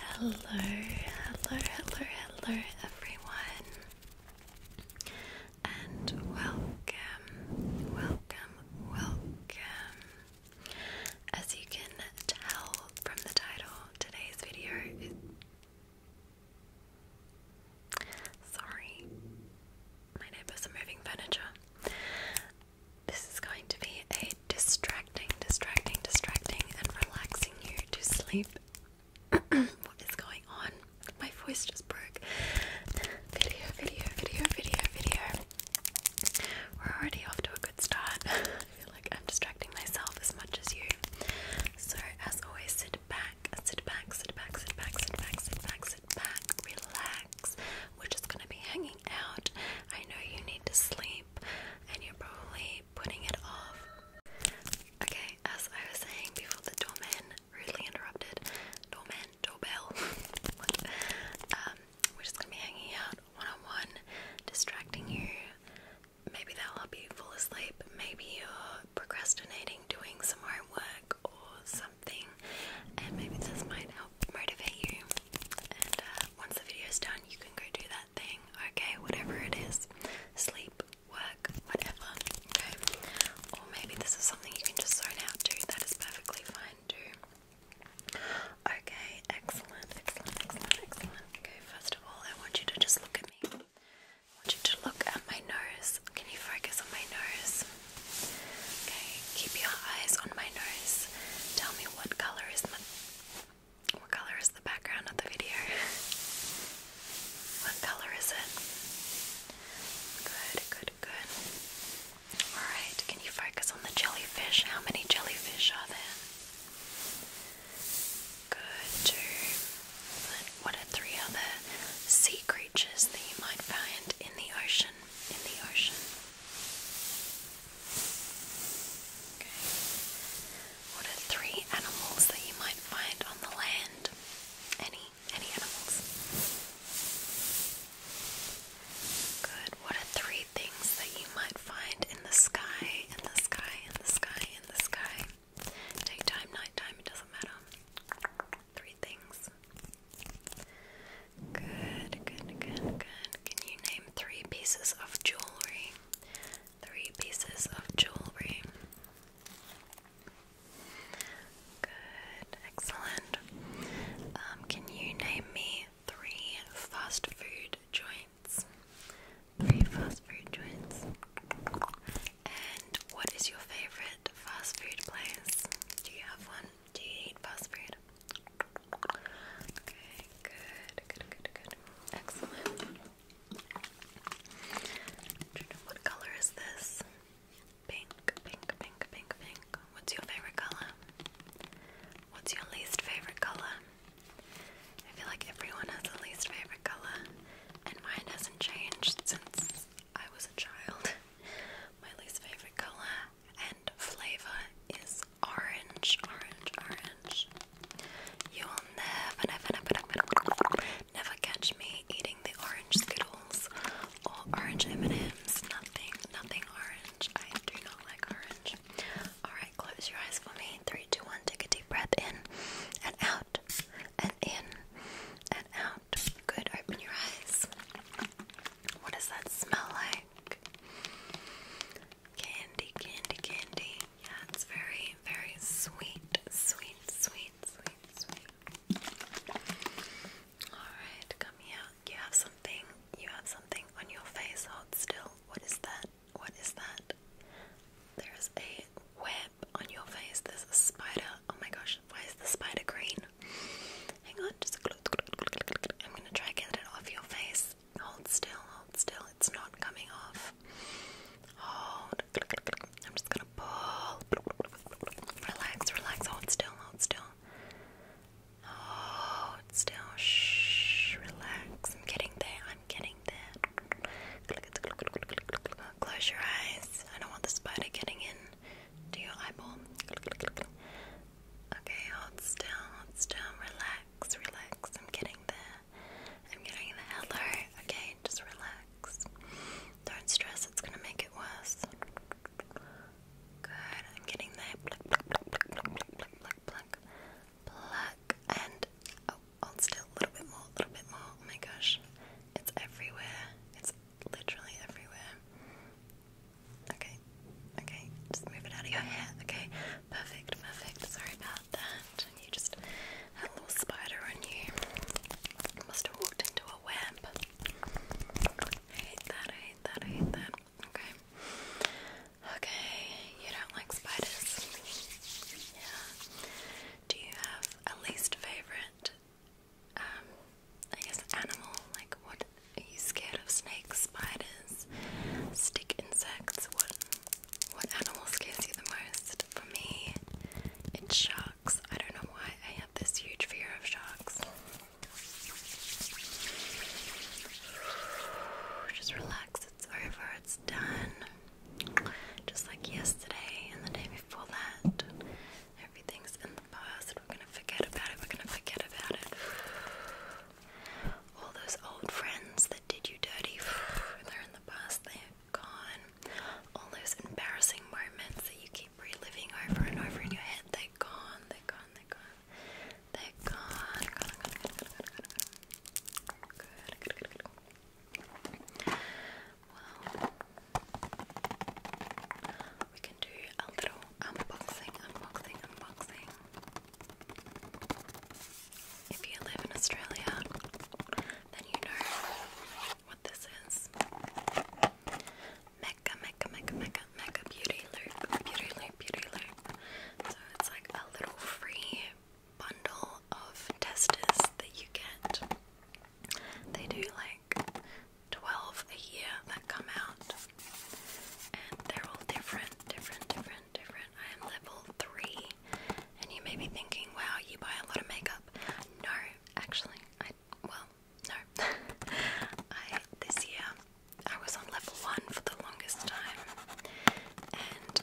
Hello, hello, hello, hello, everyone, and welcome, welcome, welcome. As you can tell from the title, today's video is. Sorry, my neighbors are moving furniture. This is going to be a distracting, distracting, distracting, and relaxing you to sleep. what is going on? My voice just broke. Video, video, video, video, video. We're already off to a good start. I feel like I'm distracting myself as much as you. So, as always, sit back, sit back, sit back, sit back, sit back, sit back, sit back, sit back, back, relax. We're just gonna be hanging out. I know you need to sleep and you're probably putting it off. Okay, as I was saying before the doorman rudely interrupted, doorman, doorbell. Um, we're just gonna be hanging out one on one, distracting you. Maybe that'll help you fall asleep. Maybe you're procrastinating doing some homework or some something, and maybe this might help motivate you. And uh, once the video's done, you can go do that thing, okay? Whatever it is sleep, work, whatever, okay? Or maybe this is something you can just zone out to, that is perfectly fine too. Okay, excellent, excellent, excellent, excellent. Okay, first of all, I want you to just look at me. I want you to look at my nose. Can you focus on my nose? Okay, keep your eyes on my nose. Tell me what color is my what color is the background of the video? what color is it? Good, good, good. Alright, can you focus on the jellyfish? How many jellyfish are there? Good, two. what are three other sea creatures that you might find in the ocean? In the ocean. Okay. What are three animals that you might find on the land? Any any animals? Good. What are three things that you might find in the sky? In the sky, in the sky, in the sky. Daytime, nighttime, it doesn't matter. Three three things? Good, good, good, good. Can you name three pieces of jewelry? Three pieces of jewelry. Good, excellent. Um, can you name me three fast food joints? Three fast food joints. And what is your favorite fast food place? Do you have one? Do you eat fast food? Okay, good, good, good, good. Excellent. What color is this? Pink, pink, pink, pink, pink. What's your favorite color? What's your least favorite color? I feel like everyone has a least favorite color, and mine hasn't changed since I was a child. My least favorite color and flavor is orange, orange, orange. You'll never, never, never, never, never catch me eating the orange Skittles or orange M&Ms. Nothing, nothing orange. I do not like orange. Alright, close your eyes for me. Three, two, one. Take a deep breath in and out and in and out. Good. Open your eyes. What does that smell like? candy, candy, candy. Yeah, it's very, very sweet, sweet, sweet, sweet, sweet. Alright, come here. You have something, you have something on your face. Hold still. What is that? What is that? There is a web on your face. There's a spider. Oh my gosh, why is the spider green? Hang on, just I'm gonna try get it off your face. Hold still, hold still. It's not coming off. Hold. I'm just gonna pull. Relax, relax. Hold still, hold still. Hold still. Shh. Relax. I'm getting there. I'm getting there. Close your eyes. I don't want the spider getting in to your eyeball. Okay, hold still, hold still, relax, relax. I'm getting there. I'm getting there. Hello. Okay, just relax. Don't stress, it's gonna make it worse. Good, I'm getting there. Pluck, and oh, hold still. A little bit more, a little bit more. Oh my gosh, it's everywhere. It's literally everywhere. Okay, okay, just move it out of your hair. Okay, perfect, perfect. Sorry about that. You just had little spider on you. Must have walked into a web. I hate that, hate that, hate that. Okay. Okay, you don't like spiders. Yeah. Do you have a least favorite um, I guess, animal. Like, what are you scared of? Snakes, spiders, stick insects? What what animal scares you the most? For me, it's sharks. I don't know why I have this huge fear of sharks. Just relax, it's over, it's done. Just like yesterday and the day before that, everything's in we're gonna forget about it. We're gonna forget about it. All those old friends that did you dirty, they're in the past, they're gone. All those embarrassing moments that you keep reliving over and over in your head, they're gone, they're gone, they're gone. They're gone. we can do a little unboxing, unboxing, unboxing. If you live in Australia, then you know what this is. Mecca, Mecca, Mecca, Mecca, Mecca Beauty Loop, Beauty Loop, Beauty Loop. So it's like a little free bundle of testers that you get. They do like 12 a year that come out. And they're all different, different, different, different. I am level 3. And you may be thinking, wow, you buy a lot of makeup. No, actually, I, well, no. I, this year, I was on level 1 for the longest time. And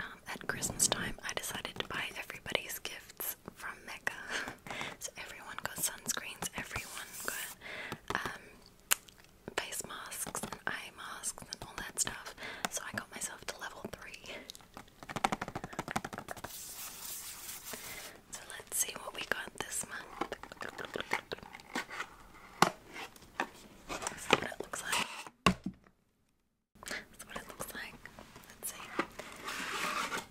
um, at Christmas time, I decided to buy everybody's gifts from Mecca. so everyone got sunscreens, everyone got um, face masks and eye masks and all that stuff. So I got myself to level three. So let's see what we got this month. This is what it looks like. That's what it looks like. Let's see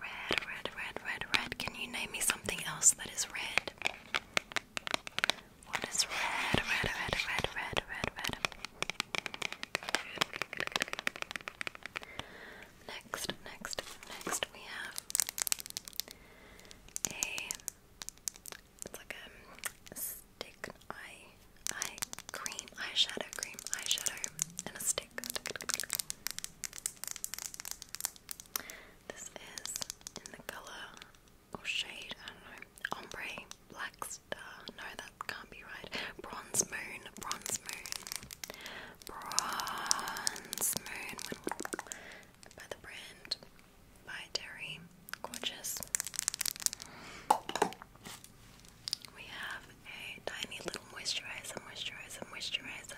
Red, red, red, red, red. Can you name me something else that is red? What is red, red, red, red, red, red, red? Next, next, next we have a like a stick eye eye cream, eyeshadow cream, eyeshadow and a stick. This is in the colour or shade, I don't know, ombre, black no that can't be right, bronze moon, bronze moon, bronze moon, by the brand, by Derry, gorgeous. We have a tiny little moisturizer, moisturizer, moisturizer.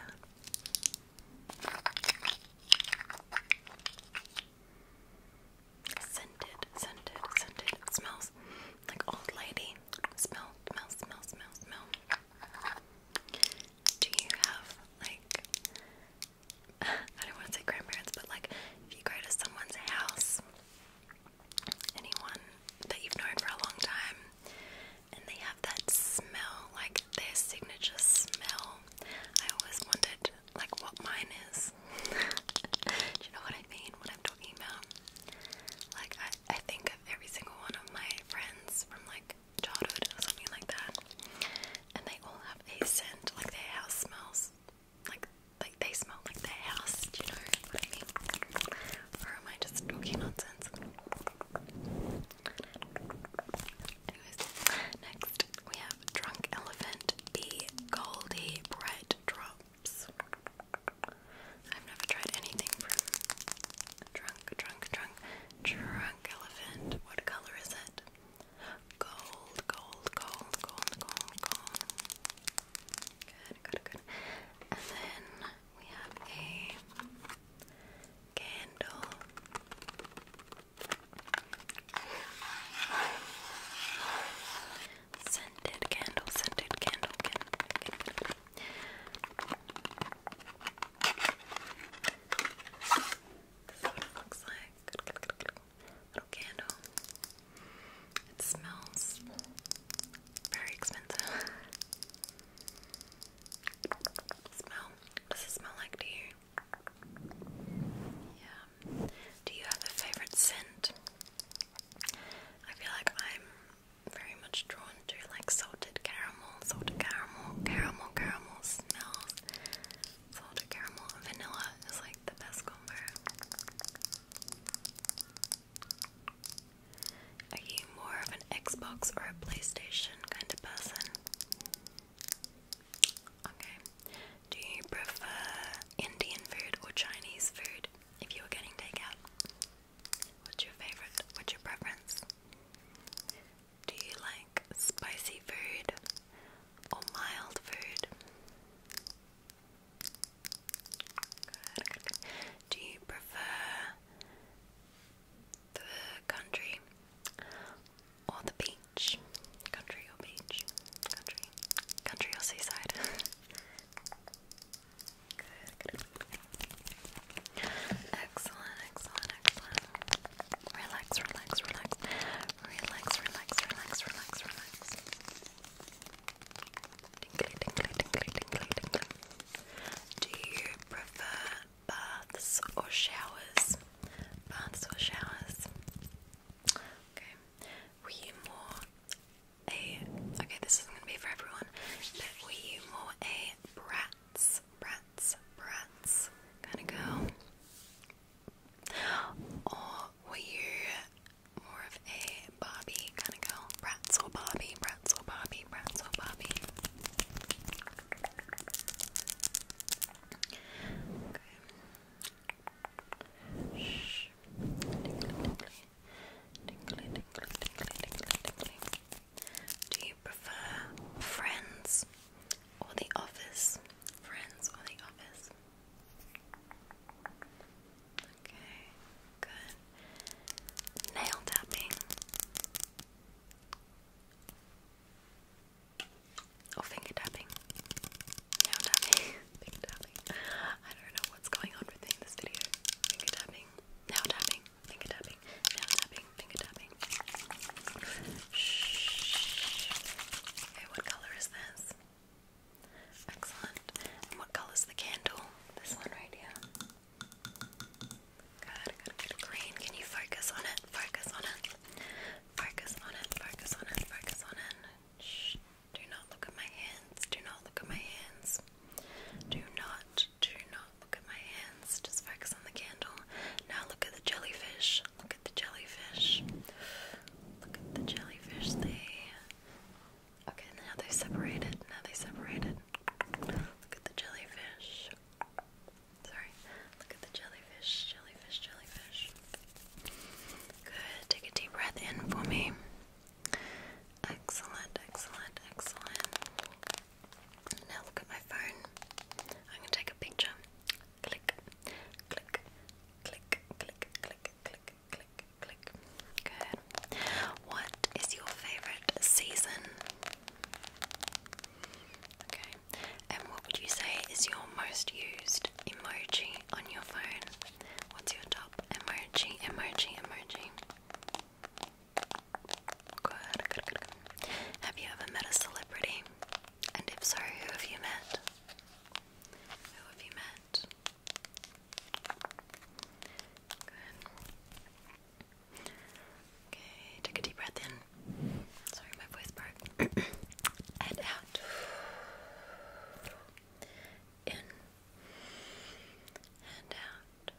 Scented, scented, scented. smells like old lady. Smell, smell, smell, smell, smell. Do you have like I don't want to say grandparents, but like if you go to someone's house, anyone that you've known for a long time, and they have that smell, like their signature smell. I always wondered, like, what mine is. Do you know what I mean? What I'm talking about? Like, I, I think of every single one of my friends from like childhood or something like that, and they all have a scent. Like their house smells, like like they smell like their house. Do you know what I mean? Or am I just talking nonsense? Anyways, next we have Drunk Elephant, the Goldie Bright Drops. I've never tried anything from Drunk, Drunk, Drunk, Drunk Elephant. What color is it? Gold, gold, gold, gold, gold, gold. Good, good, good. And then we have a candle. Scented candle, scented candle, candle, candle. it looks like. Little candle. It smells very expensive. Smell? What does it smell like to you? Yeah. Do you have a favorite scent? I feel like I'm very much drawn to like salted caramel, salted caramel, caramel, caramel smells. Salted caramel and vanilla is like the best combo. Are you more of an Xbox or a PlayStation kind of person? Okay. Do you prefer Indian food or Chinese food if you were getting takeout? What's your favorite? What's your preference? Do you like spicy food or mild food? Do you prefer the country or the beach. Country or beach? Country. Country or seaside? Excellent, excellent, excellent. Relax, relax, relax. Relax, relax, relax, relax, relax. Tinkly, Do you prefer baths or showers. Baths or showers. Okay. Were you more a okay, this isn't gonna be for everyone, but were you more a brats, brats, brats kind of girl? Or were you more of a Barbie kind of girl? Brats or Barbie, brats or Barbie, brats or Barbie. Do you prefer Friends or The Office? Friends or The Office? Okay, good. Nail tapping. Or oh, finger tapping. Nail tapping. finger tapping. I don't know what's going on with this video. Finger tapping. Nail tapping. Finger tapping. Nail tapping. Finger tapping. Shh. Okay, what colour is this? Excellent. And what colour's the candle? This one right here. Good, good, Green, can you focus on it? Focus on it. Focus on it. Focus on it. Focus on it. Shh. Do not look at my hands. Do not look at my hands. Do not, do not look at my hands. Just focus on the candle. Now look at the jellyfish. Look at the jellyfish. Look at the jellyfish. They. Okay, now they separated. Now they separated. Look at the jellyfish. Sorry. Look at the jellyfish, jellyfish, jellyfish. Good. Take a deep breath in for me. Excellent, excellent, excellent. Now look at my phone. I'm going to take a picture. Click, click, click, click, click, click, click, click. Good. What is your favorite season? Okay, and what would you say is your most used emoji on your phone? What's your top emoji, emoji, emoji? Good, good, good, Have you ever met a celebrity? And if so, who have you met? Who have you met? Good. Okay, take a deep breath in. Sorry, my voice broke. and out. In. And out.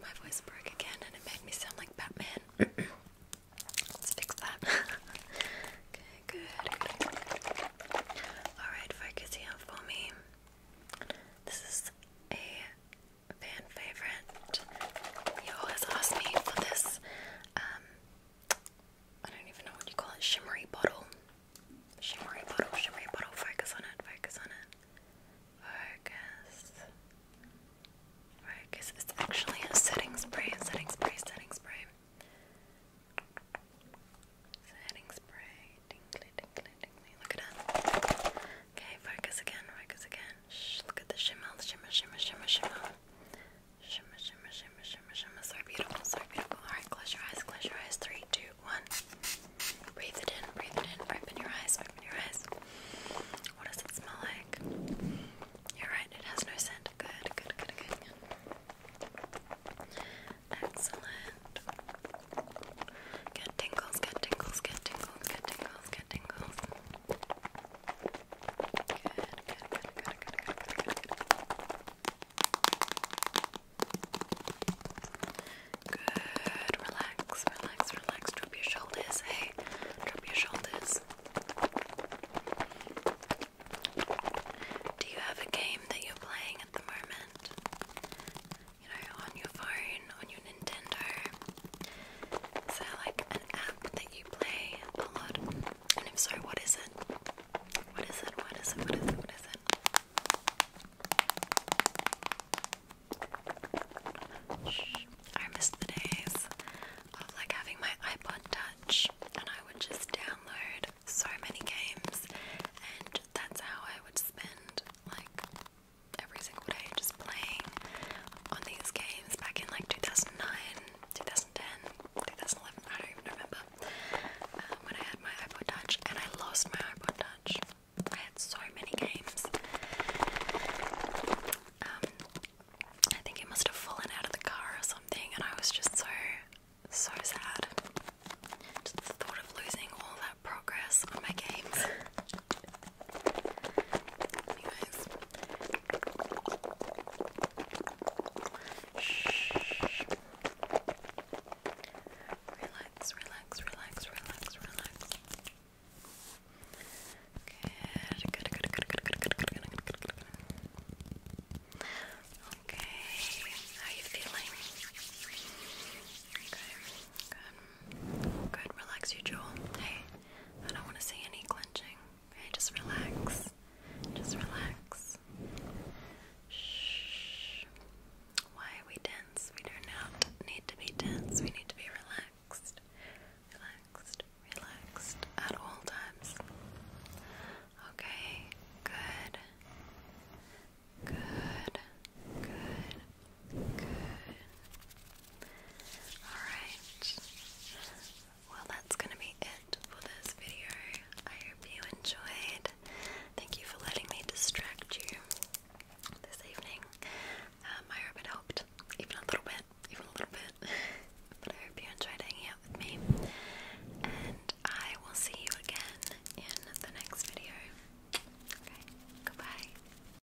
My voice broke again and it made me sound like Batman. Let's fix that. okay, good. Alright, focus here for me. This is a fan favorite. You always ask me for this, um, I don't even know what you call it, shimmery bottle. Shimmery bottle, shimmery bottle, focus on it, focus on it. Focus. Focus. It's actually a setting spray, setting spray, setting spray. Setting spray. Dingley, dingley, dingley. Look at it. Okay, focus again, focus again. Shh, look at the shimmer, the shimmer, shimmer, shimmer, shimmer. Shimmer, shimmer, shimmer, shimmer, shimmer. So beautiful, so beautiful. Alright, close your eyes, close your eyes. Three, two, one. Breathe it in, breathe it in. Open your eyes, open your eyes. What does it smell like? You're right, it has no scent. Good, good, good, good. Excellent. Get tingles, get tingles, get tingles, get tingles, get good Good, good, good, good, good, good, good, good. Good, relax, relax, relax. Drop your shoulders, hey, drop your shoulders. Do you have a game that you're playing at the moment? You know, on your phone, on your Nintendo. So like an app that you play a lot? And if so, what is it? What is it? What is it? What is it? What is it? I miss the days of like having my iPod touch and I would just download so many games and that's how I would spend like every single day just playing on these games back in like 2009, 2010, I don't even remember uh, when I had my iPod Touch and I lost my iPod Touch. I had so many games. Um, I think it must have fallen out of the car or something and I was just so, so sad. Just the thought of losing all that progress on my games. Anyways. Shh. Relax, relax, relax, relax, relax. Good, good, good, good, good, good, good, good, good, good, good, good. Okay, how are you feeling? Okay. Good. Good. Relax you Joel. Hey, I don't want to see any clenching. Hey, just relax. Just relax. Shh. Why are we tense? We do not need to be tense. We need to be relaxed. Relaxed. Relaxed at all times. Okay. Good. Good. Good. Good. Alright. Well, that's going to be it for this video. I hope you enjoyed. Thank you for letting me distract you this evening. Um, I hope it helped, even a little bit, even a little bit. but I hope you enjoyed hanging out with me. And I will see you again in the next video. Okay, goodbye.